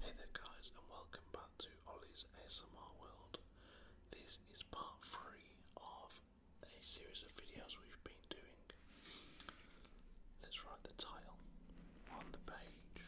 Hey there guys and welcome back to Ollie's ASMR World. This is part 3 of a series of videos we've been doing. Let's write the title on the page.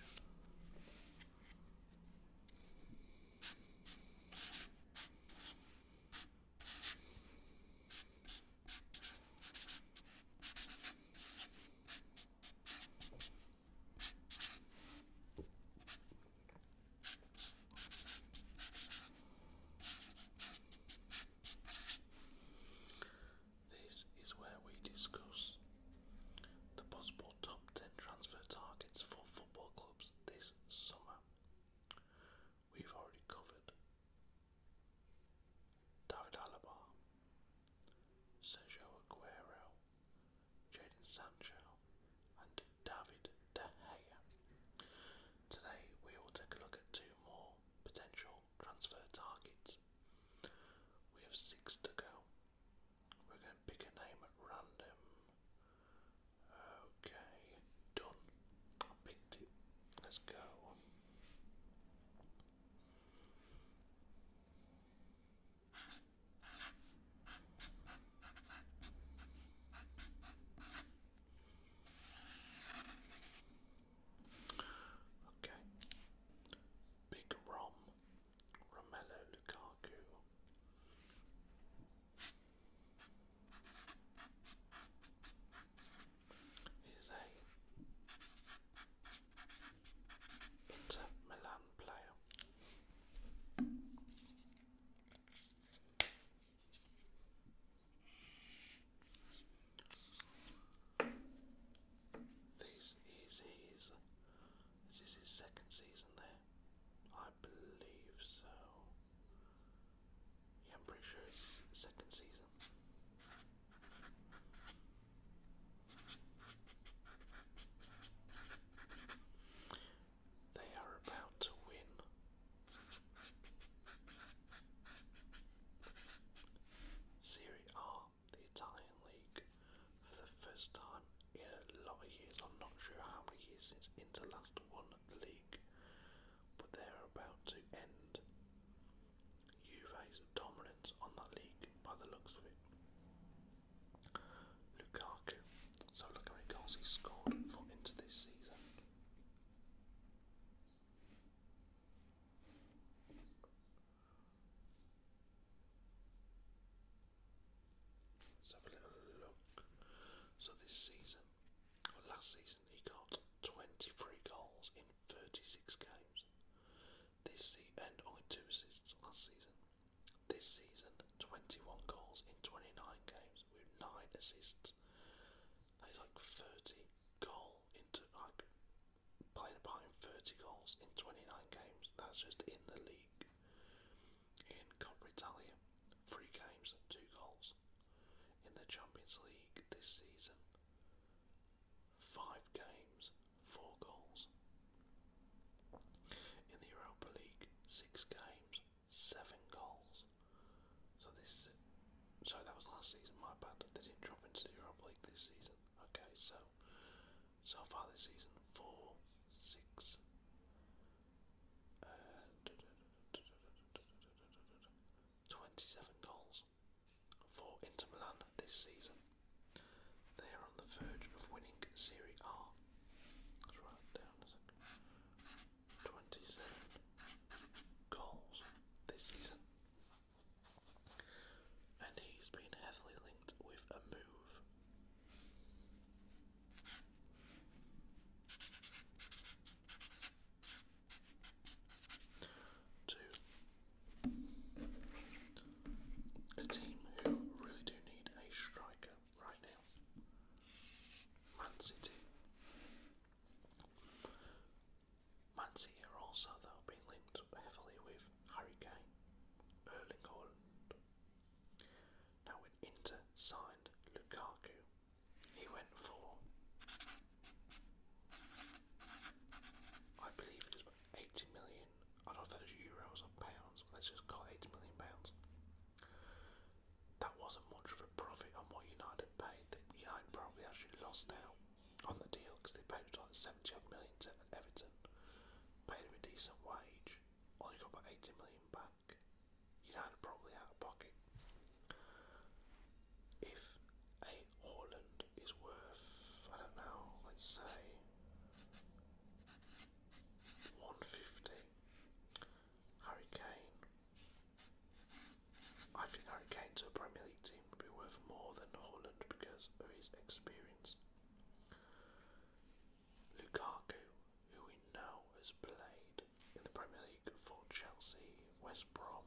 This is where we discuss the possible top 10 transfer targets for football clubs this summer. We've already covered David Alaba, Sergio Aguero, Jadon Sancho, and David De Gea. Today we will take a look at two more potential transfer targets. We have six to go. We're going to pick a name at random. Okay, done. I picked it. Let's go. Okay. Big Rom, Romelu Lukaku is a Inter Milan player. This is his. This is his second season there, I believe so. Yeah, I'm pretty sure it's second season. They are about to win. Serie A, the Italian league, for the first time in a lot of years. I'm not sure how many years since Inter last won the league, but they're about to end Juve's dominance on that league by the looks of it. Lukaku. So how many goals he's scored for into this season. Let's have a little look. So this season, last season, he got 23 goals in 36 games. This se and only two assists last season. This season, 21 goals in 29 games with 9 assists. He's like 30 goal into like playing behind 30 goals in 29 games. That's just in the league. In Coppa Italia, three games, two goals. In the Champions League this season, Five games, four goals. In the Europa League, six games, seven goals. So this, so that was last season. My bad. They didn't drop into the Europa League this season. Okay, so so far this season, four, six. Uh, 27 goals for Inter Milan this season. They are on the verge of winning Serie A. 27 goals this season. And he's been heavily linked with a move to a team who really do need a striker right now. Man City. Man City are also though being linked heavily with Harry Kane, Erling Haaland. Now when Inter signed Lukaku he went for, I believe it was 80 million, I don't know if that was euros or pounds, let's just call it 80 million pounds. That wasn't much of a profit on what United paid. United probably actually lost out on the deal because they paid like 70 to Everton, paid him a decent wage, only got about 80 million back. United probably out of pocket. If a Haaland is worth, I don't know, let's say 150, Harry Kane, I think Harry Kane to a Premier League team would be worth more than Holland because of his experience. Lukaku, who we know has played in the Premier League for Chelsea, West Brom,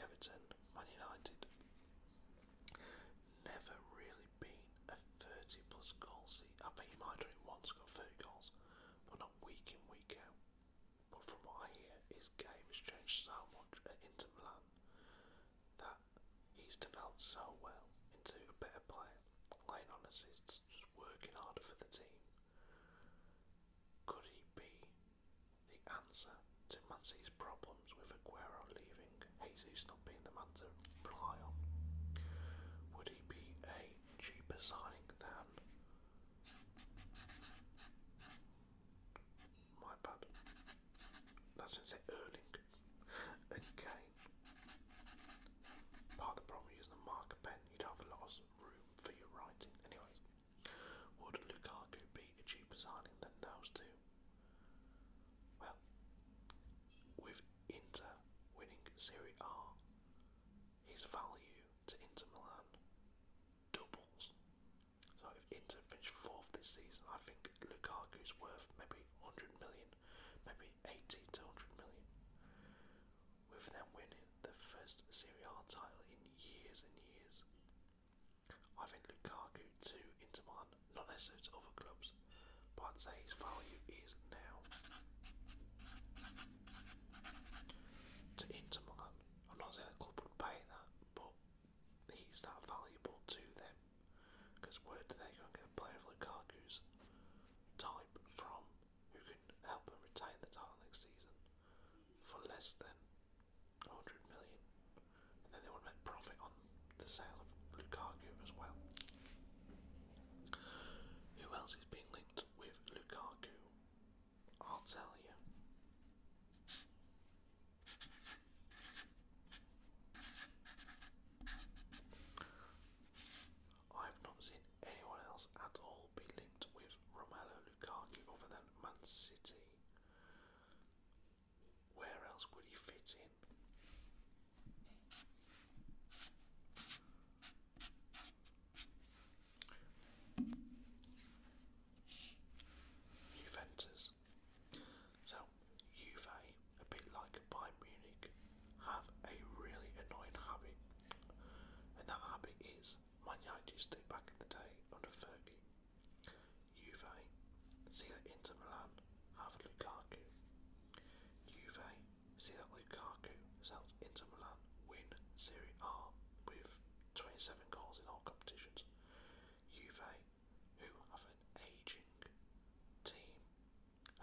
Everton, Man United. Never really been a 30 plus goal season. I think he might have done it once, got 30 goals, but not week in, week out. But from what I hear, his game has changed so much at Inter Milan that he's developed so well into a better player, laying on assists, just working harder for the team. Could he be the answer to Man problems with Aguero leaving, Jesus not being the man to rely on? Would he be a cheaper signing than. My bad. That's been said Erling. okay. Part of the problem using the marker pen, you'd have a lot room for your writing. Anyways, would Lukaku be cheaper signing than those two? Well, with Inter winning Serie A, his value to Inter Milan doubles. So if Inter finish fourth this season, I think Lukaku's worth maybe 100 million, maybe 80 to 100 million with them winning the first Serie A title in years and years. I think Lukaku to Inter Milan, not necessarily to other clubs, but I'd say his value is now. To Inter Milan, I'm not saying a club would pay that, but he's that valuable to them because word they're going to get a player of Lukaku's type from who could help him retain the title next season for less than 100 million. then they would make profit on the sale of Lukaku as well. Who else is being linked with Lukaku? i I've not seen anyone else at all will be linked with Romelu Lukaku other than Man City? Where else would he fit in? Juventus. So, Juve, a bit like Bayern Munich, have a really annoying hobby, and that habit is Man United used to back in the day under Fergie. Juve, see that Inter Milan have Lukaku. Juve, see that Lukaku sells Inter Milan win Serie A with 27 goals in all competitions. Juve, who have an ageing team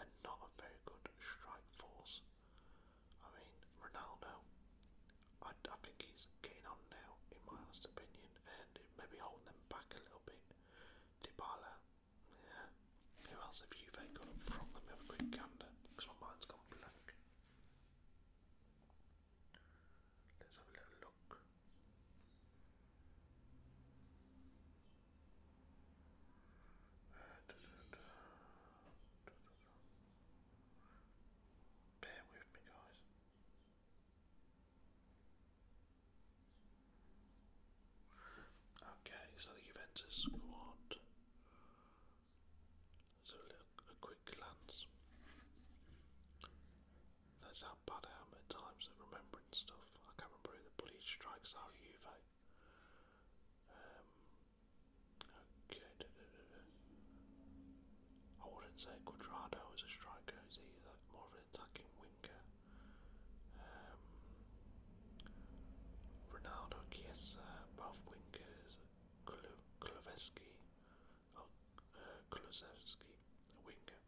and not a very good strike force, I mean, Ronaldo, I, I think he's getting on now, in my honest opinion, and maybe holding them back a little bit. Dybala, yeah. Who else have you they got up front? Let me have a quick gander, because my mind's gone blank. Let's have a little look. Bear with me, guys. Okay, so the Juventus squad. So a, quick glance. That's how bad I am at times at remembering stuff. I can't remember the bloody strikers are Juve. Um, I wouldn't say Quadrado is a striker, is He's more of an attacking winger. Um, Ronaldo, Kieser, both wingers. Kulusevski, oh, uh, winger.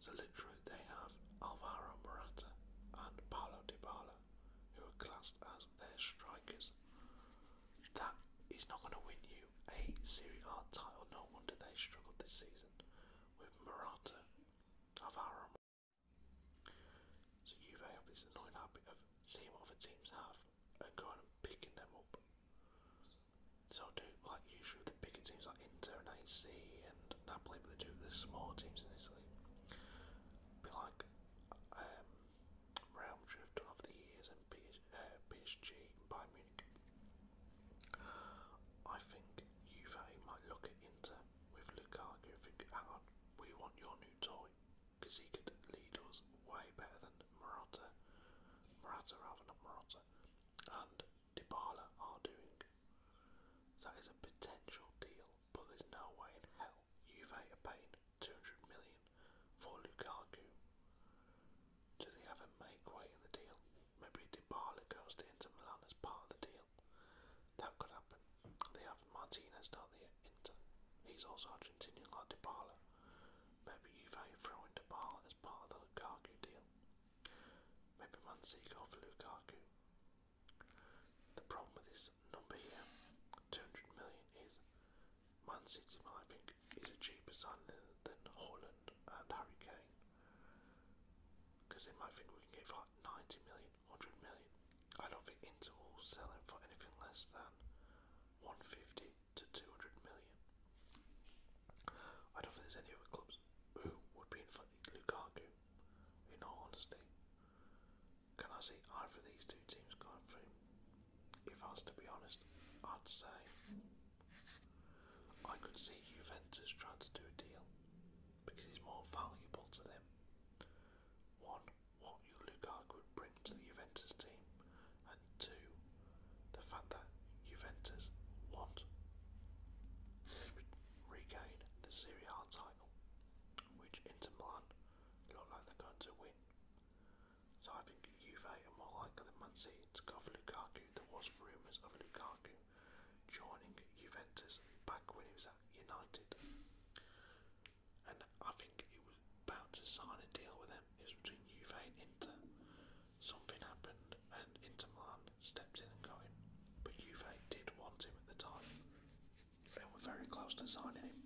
So literally, they have Alvaro Morata and Paulo Dybala who are classed as their strikers. That is not going to win you a Serie A title. No wonder they struggled this season with Murata of Aram. So Juve have this annoying habit of seeing what other teams have and going and picking them up. So I do like usually the bigger teams like Inter and AC and Napoli, but they do the smaller teams in Italy. Be like um, Real Madrid have done over the years, and PSG uh, Bayern Munich. I think Juve might look at Inter with Lukaku and think, hang on, we want your new toy because he could lead us way better than Morata, Morata rather not Morata, and Dybala are doing. That is a potential deal but there's no way in hell Juve are paying 200 million for Lukaku. Do they have a make way in the deal? Maybe Dybala goes to Inter Milan as part of the deal. That could happen. They have Martinez, don't they, at Inter? He's also Argentinian like Dybala. Maybe Juve throw in Dybala as part of the Lukaku deal. Maybe Man City go for Lukaku. The problem with this number here, 200 million, is Man City, I think, is cheaper signing than Holland and Harry Kane. Because they might think we can get for 90 million, 100 million. I don't think Inter will sell him for anything less than 150 to 200 million. I don't think there's any other clubs who would be in front of Lukaku in all honesty. Can I see either of these two teams going through? If I was to be honest, I'd say I could see Juventus trying to do a deal because he's more valuable to them. One, what you Lukaku would bring to the Juventus team, and two, the fact that Juventus want to regain the Serie A title title, which Inter Milan look like they're going to win. So I think Juve are more likely than Man City to go for Lukaku. There was rumours of Lukaku joining Juventus back when he was at United, and I think he was about to sign a deal with them. It was between Juve Inter. Something happened, and Inter Milan Milan stepped in and got him, but Juve did want him at the time and were very close to signing him.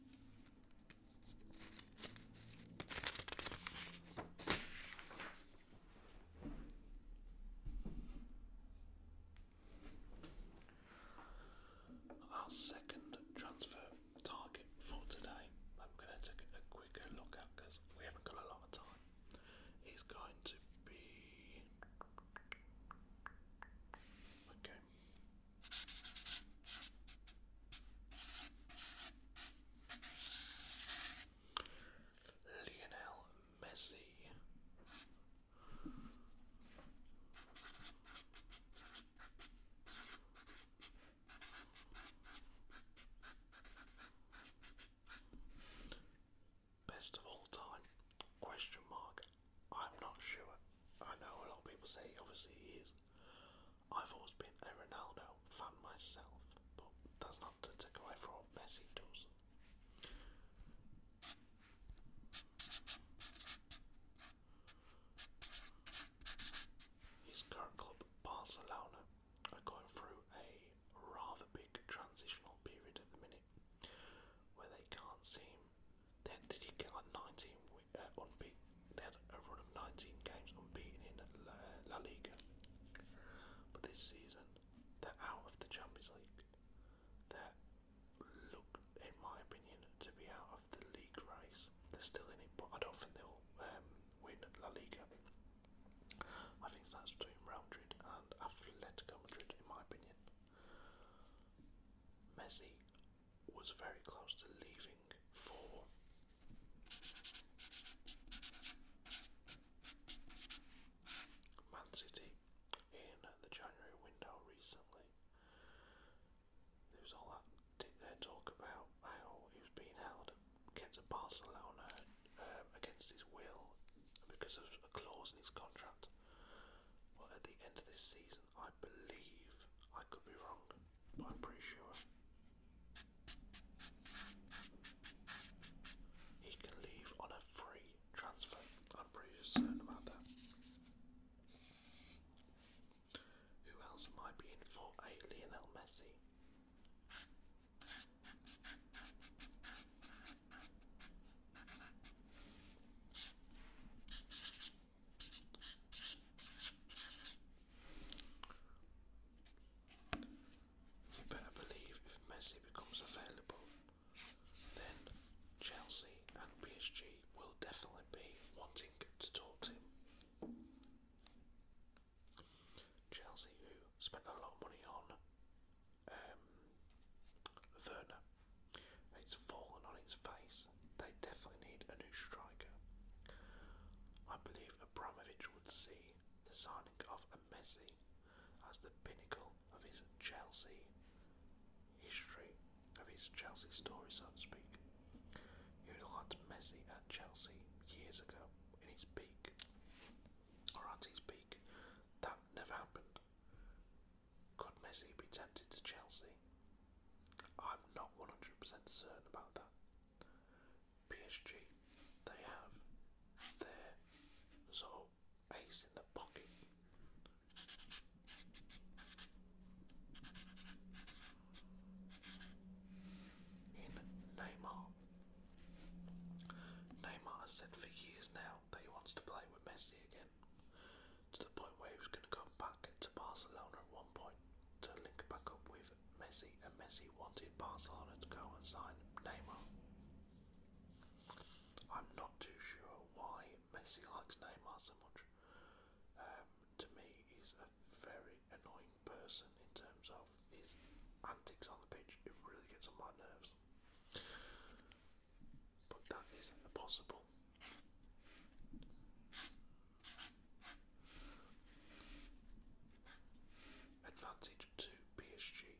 Our second transfer target for today that we're going to take a quicker look at because we haven't got a lot of time. He's going to be okay. Lionel Messi. Best of all time? Question mark. I'm not sure. I know a lot of people say obviously he is. I've always been a Ronaldo fan myself, but that's not to take away from what Messi does. His current club, Barcelona, are going through a rather big transitional period at the minute where they can't seem. They had, did he got 19 uh, unbeaten? They had a run of 19 games unbeaten in La, La Liga, but this season they're out of the Champions League. They're look, in my opinion, to be out of the league race. They're still in it, but I don't think they'll um, win La Liga. I think that's between Real Madrid and Atletico Madrid, in my opinion. Messi was very close to leaving for Man City in the January window recently. There was all that uh, talk about how he was being held, kept at Barcelona, um, against his will because of a clause in his contract. Well, at the end of this season, I believe I could be wrong, but I'm pretty sure he can leave on a free transfer. I'm pretty concerned about that. Who else might be in for a Lionel Messi? You better believe if Messi becomes available, then Chelsea and PSG will definitely be wanting to talk to him. Chelsea, who spent a lot of money on um, Werner, it's fallen on its face. They definitely need a new striker. I believe Abramovich would see the signing of a Messi as the pinnacle of his Chelsea history, of his Chelsea story, so to speak. He would have Messi at Chelsea years ago in his peak, or at his peak. That never happened. Could Messi be tempted to Chelsea? I'm not 100% certain about that. PSG, they have their sort ace in the pocket. In Neymar, Neymar. Neymar has said for years now that he wants to play with Messi again, to the point where he was going to go back to Barcelona at one point to link back up with Messi, and Messi wanted Barcelona to go and sign Neymar. I'm not too sure why Messi likes Neymar so much. Um, to me, he's a very annoying person in terms of his antics on the pitch. It really gets on my nerves. But that is impossible. Advantage to PSG.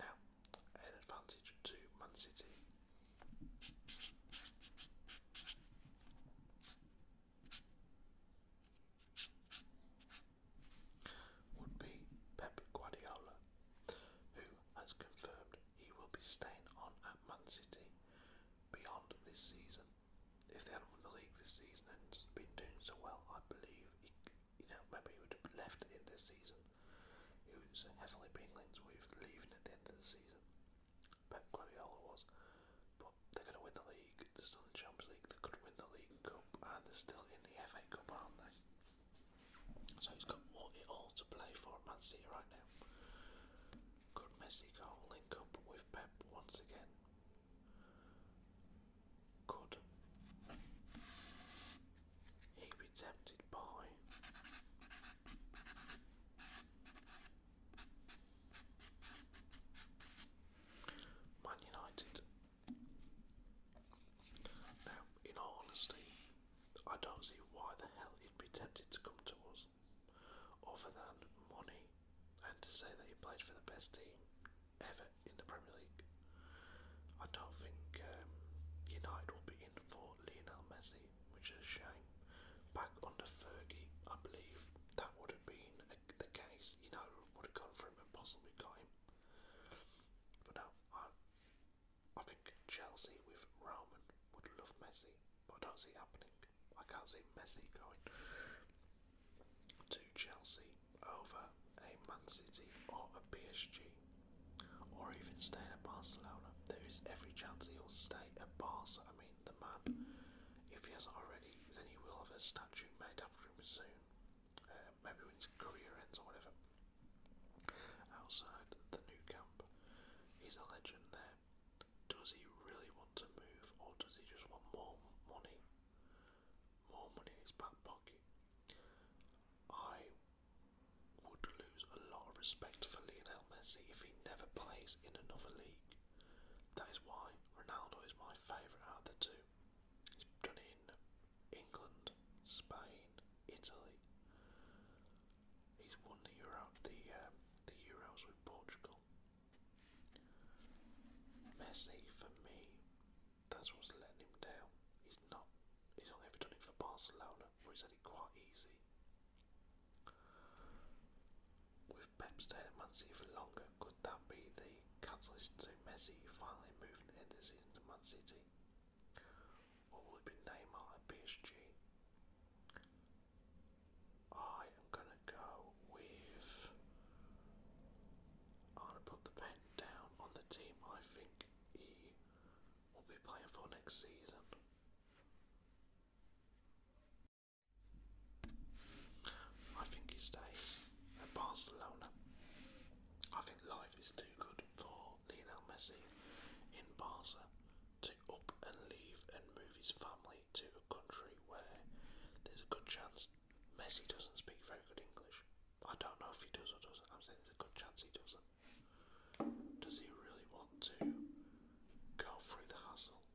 Now, an advantage to Man City would be Pep Guardiola, who has confirmed he will be staying on at Man City beyond this season. If they hadn't won the league this season and been doing so well, I believe he, you know maybe he would have left at the end of the season. He was heavily being linked with leaving at the end of the season. Pep Guardiola was, but they're going to win the league. They're still in the Champions League. They could win the League Cup, and they're still in the FA Cup, aren't they? So he's got it all to play for at Man City right now. Could Messi go link up with Pep once again? Could he be tempted by Man United. Now, in all honesty, I don't see why the hell he'd be tempted to come to us, other than money and to say that he played for the best team ever in the Premier League. I don't think um, United will be in for Lionel Messi, which is a shame. Back under Fergie, I believe that would have been the case. United would have gone for him and possibly got him. But now, I, I think Chelsea with Roman would love Messi, but I don't see happening. I can't see Messi going to Chelsea over a Man City or a PSG or even staying at Barcelona. There is every chance he'll stay at Barca. I mean, terrain, the map. If he hasn't already, then he will have a statue made after him soon. Uh, maybe when his career ends or whatever. Outside the new camp, he's a legend there. Does he really want to move, or does he just want more money? More money in his back pocket. I would lose a lot of respect for Lionel Messi if he never plays in another league. That is why Ronaldo is my favourite out of the two. He's done in England, Spain, Italy. He's won the Euro, the um, the Euros with Portugal. Messi for me, that's what's letting him down. He's not. He's only ever done it for Barcelona, where he's only quite easy with Pep staying at Man City for longer, could that be the catalyst to Messi finally moving the end of the season to Man City? Or will it be Neymar at PSG? I am gonna go with. I'm gonna put the pen down on the team I think he will be playing for next season. I think he stays at Barcelona. I think life is too good for Lionel Messi in Barca to up and leave and move his family to a country where there's a good chance Messi doesn't speak very good English. I don't know if he does or doesn't. I'm saying there's a good chance he doesn't. Does he really want to go through the hassle